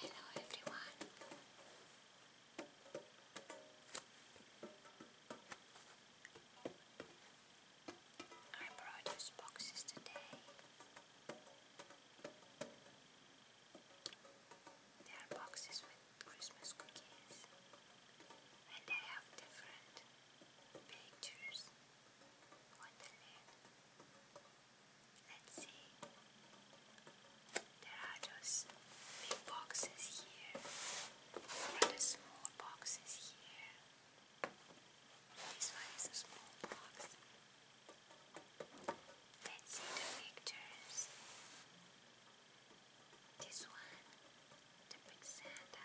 Hello everyone. I brought us boxes today. They are boxes with Christmas cookies and they have different pictures on the lid. Let's see. There are those big boxes here, and small boxes here. This one is a small box. Let's see the pictures. This one, the big Santa.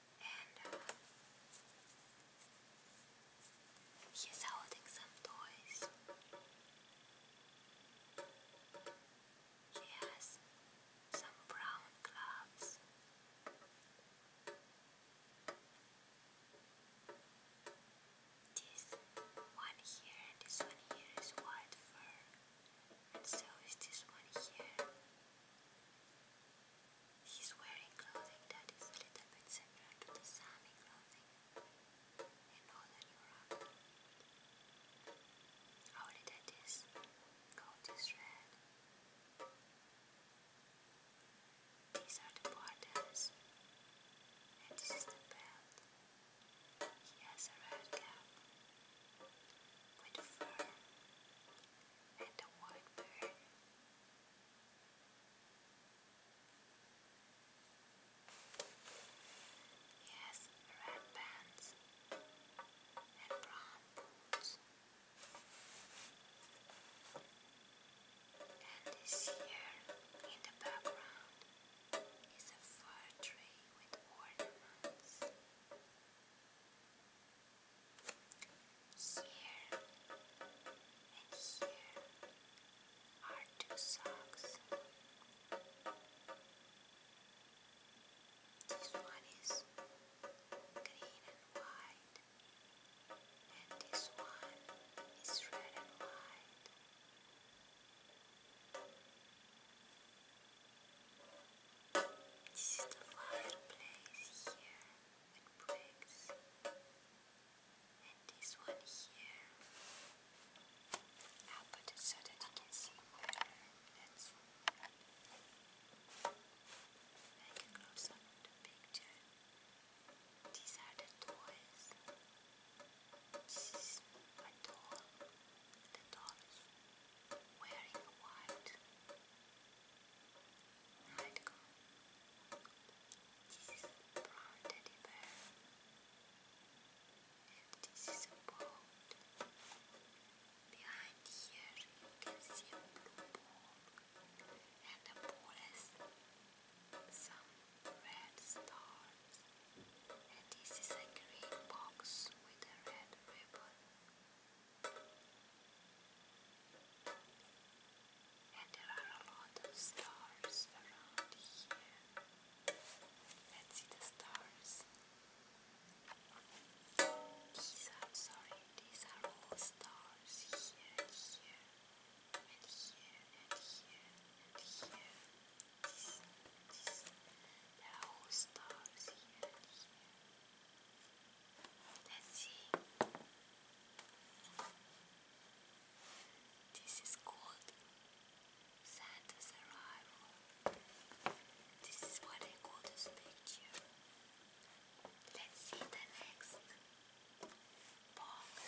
and he is holding some toys. He has some brown gloves. This one here and this one here is white fur, and so is this one here. He's wearing clothing that is a little bit similar to the Sami clothing in Northern Europe. Only that his coat is red. These are the borders, and this is the belt. He has a red cap with fur and a white beard. Yes, red pants and brown boots. And this here in the background is a fir tree with ornaments. Here and here are two socks. This one is green and white, and this one is red and white. This is the fireplace here with bricks, and this one here. i put it so that you can see better. Let's make a close up of the picture. These are the toys. This is my doll. The doll wearing a white nightgown. This is a brown teddy bear. And this is a boat. Behind here you can see a blue ball. And the ball some red stars. And this is a green box with a red ribbon. And there are a lot of stars around here. Let's see the stars. These are, sorry, these are all stars here, here, and here, and here, and here. They're This is called Santa's Arrival. This is what I call this picture. Let's see the next box.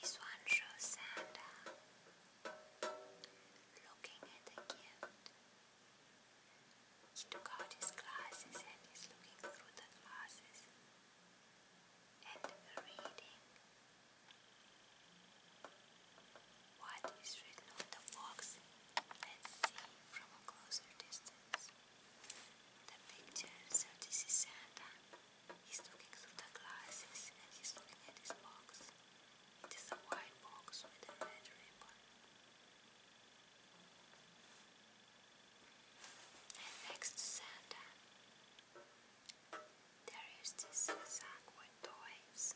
This one shows Santa looking at the gift. He took out his glasses and is looking through the glasses and reading what is written on the box. Let's see from a closer distance. The picture, so this is Santa. He's looking through the glasses and he's looking at his box. It is a white box with a red ribbon. And next to Santa, there is this sack with toys.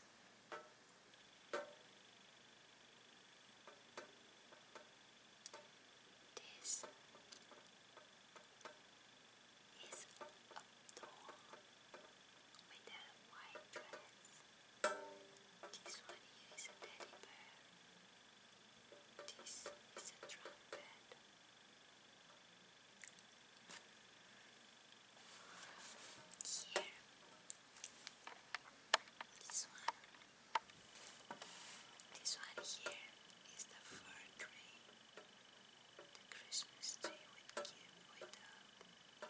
This is a doll with a white dress. This one here is a teddy bear. This is a trumpet. Here, this one. This one here is the fur tree, the Christmas tree with, with a Let's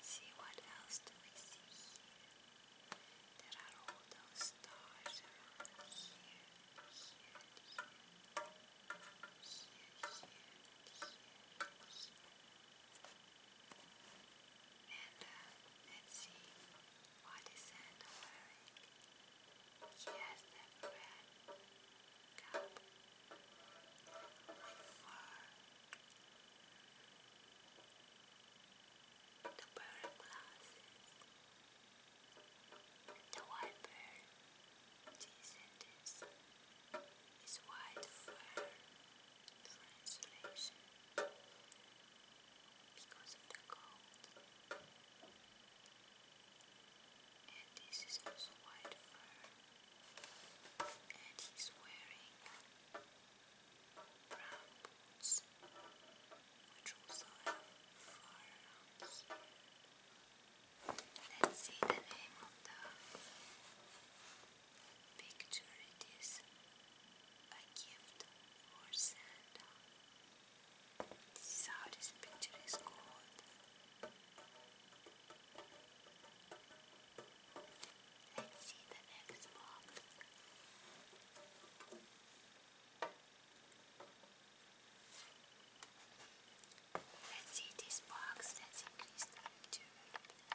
see what else do we see here. There are all those stars around here, here, here, here, here, here, And let's see. What is Santa wearing? He has that red fur. The pair glasses. The white bird. This and this. white fur for insulation because of the cold. And this is also white fur. And he's wearing brown boots, which also have fur around Let's see the name of the Picture it is a gift for Santa. This is how this picture is called. Let's see the next box. Let's see this box. Let's the picture.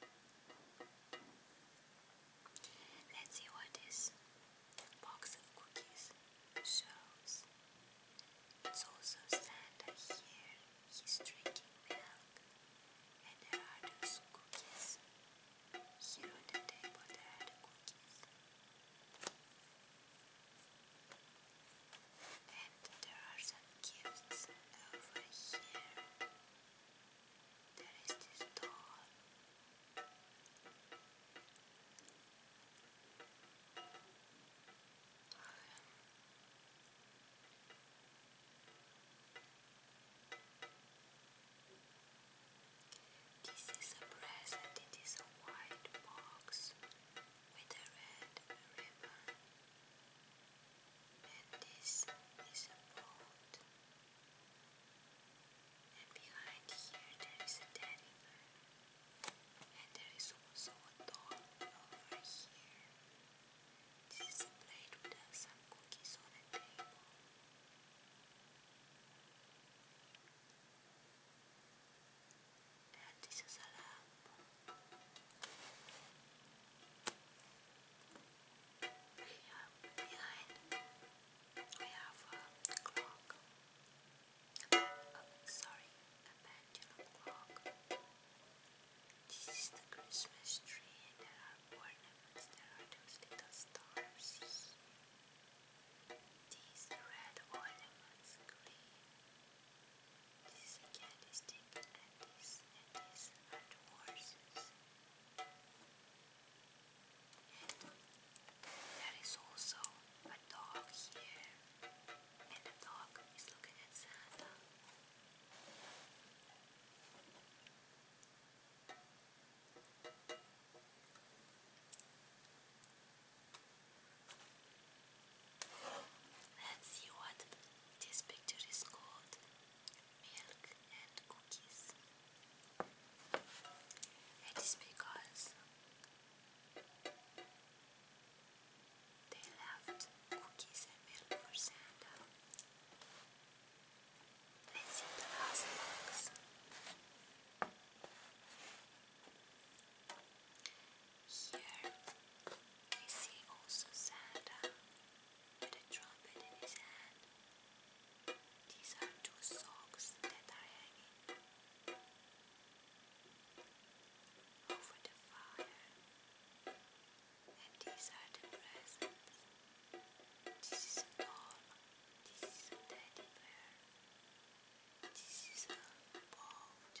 Let's see what this box of cookies shows. It's also Santa here. He's drinking milk. And there are those cookies. Here on the table there are the cookies. And there are some gifts over here. There is this door. this is a present. It is a white box with a red ribbon that this is a boat. And behind here there is a teddy bear. And there is also a dog over here. This is a plate with uh, some cookies on a table. And this is a lamp. Here behind we have a clock. Oh, sorry, a pendulum clock. This is the Christmas tree there are ornaments. There are those little stars. These red ornaments, green. This cat is deep and this and this and horses. And there is also a dog here. And the dog is looking at Santa. Let's see what this picture is called. Milk and cookies. It is because they left cookies and milk for Santa. Let's see the last box. Here we see also Santa with a trumpet in his hand. These are two socks that are hanging over the fire. And these are the presents. This is a doll. This is a teddy bear. This is a boat.